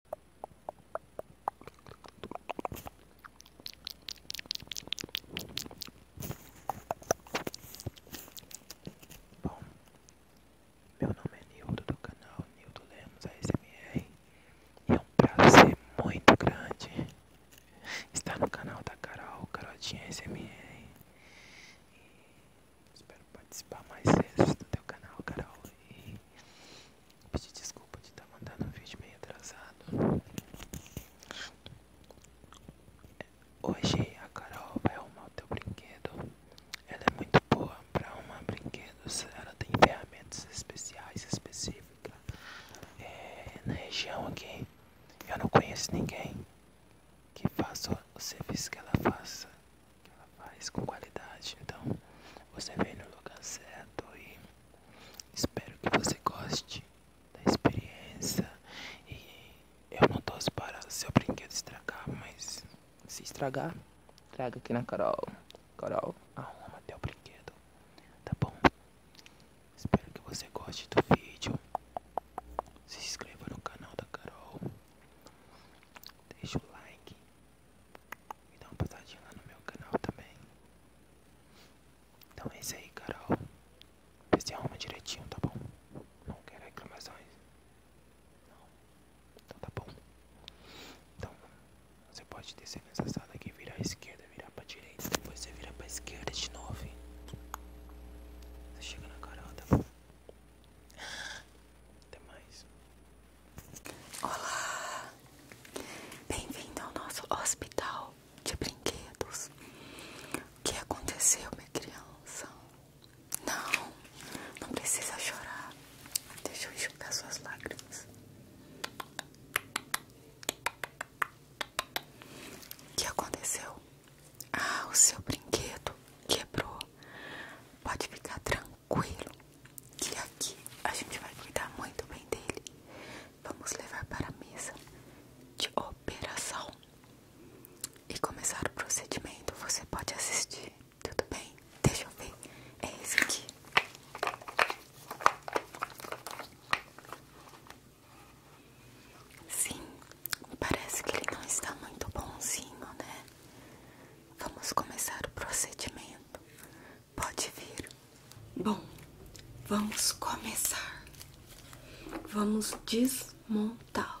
Bom, meu nome é Nildo do canal Nildo Lemos ASMR e é um prazer muito grande estar no canal da Carol, Carotinha ASMR quero participar mais vezes do teu canal, Carol. E pedir desculpa de estar tá mandando um vídeo meio atrasado. Hoje a Carol vai arrumar o teu brinquedo. Ela é muito boa para arrumar brinquedos. Ela tem ferramentas especiais, específicas. Eh, na região aqui, eu não conheço ninguém que faça o serviço que ela faça que ela faz com qualidade. Então você vem no lugar certo e espero que você goste da experiência. E eu não tô para seu brinquedo estragar, mas se estragar, traga aqui na Carol. Carol, arruma teu brinquedo, tá bom? Espero que você goste do vídeo. Se inscreva no canal da Carol. Deixa o like e dá uma passadinha lá no meu canal também. Então é isso aí, Carol. Vê se arruma direitinho, tá bom? Não quero reclamações. Não. Então tá bom. Então você pode descer nessa sala aqui, virar à esquerda, virar pra direita. Depois você vira pra esquerda de novo. chega na Carol, tá bom? Até mais. Olá! Bem-vindo ao nosso hospital de brinquedos. O que aconteceu, minha criança? Não, não precisa chorar. Deixa eu enxugar suas lágrimas. O que aconteceu? Ah, o seu brinquedo quebrou. Pode ficar tranquilo que aqui a gente vai cuidar muito bem dele. Vamos levar para a mesa de operação e começar o procedimento. Você pode assistir, tudo bem? Deixa eu ver. É esse aqui. Sim, parece que ele não está muito bonzinho, né? Vamos começar o procedimento. Pode vir. Bom, vamos começar. Vamos desmontá-lo.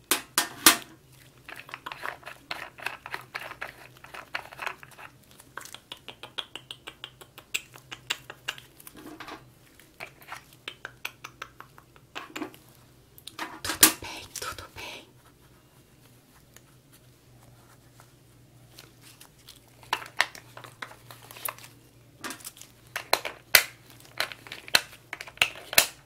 Tudo bem, tudo bem.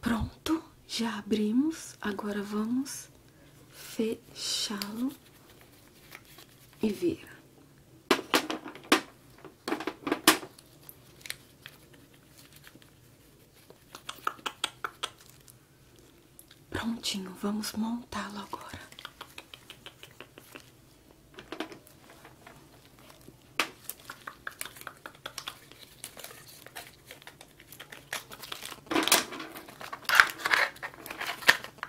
Pronto, já abrimos. Agora vamos fechá-lo e vira. Prontinho, vamos montá-lo agora.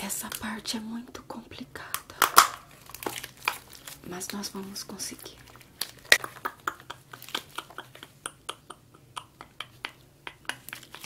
Essa parte é muito complicada, mas nós vamos conseguir.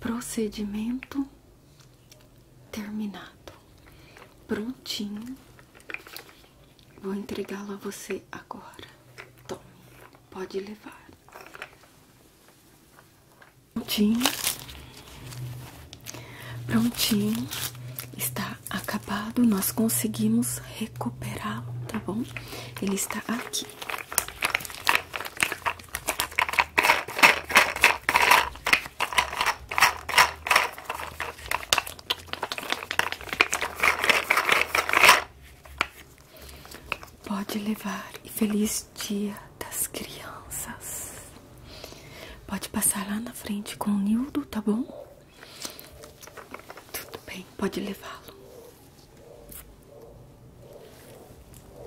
Procedimento terminado, prontinho. Vou entregá-lo a você agora. Tome, pode levar. Prontinho. Prontinho. Está acabado. Nós conseguimos recuperá-lo, tá bom? Ele está aqui. Pode levar e feliz dia das crianças. Pode passar lá na frente com o Nildo, tá bom? Tudo bem, pode levá-lo.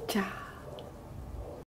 Tchau.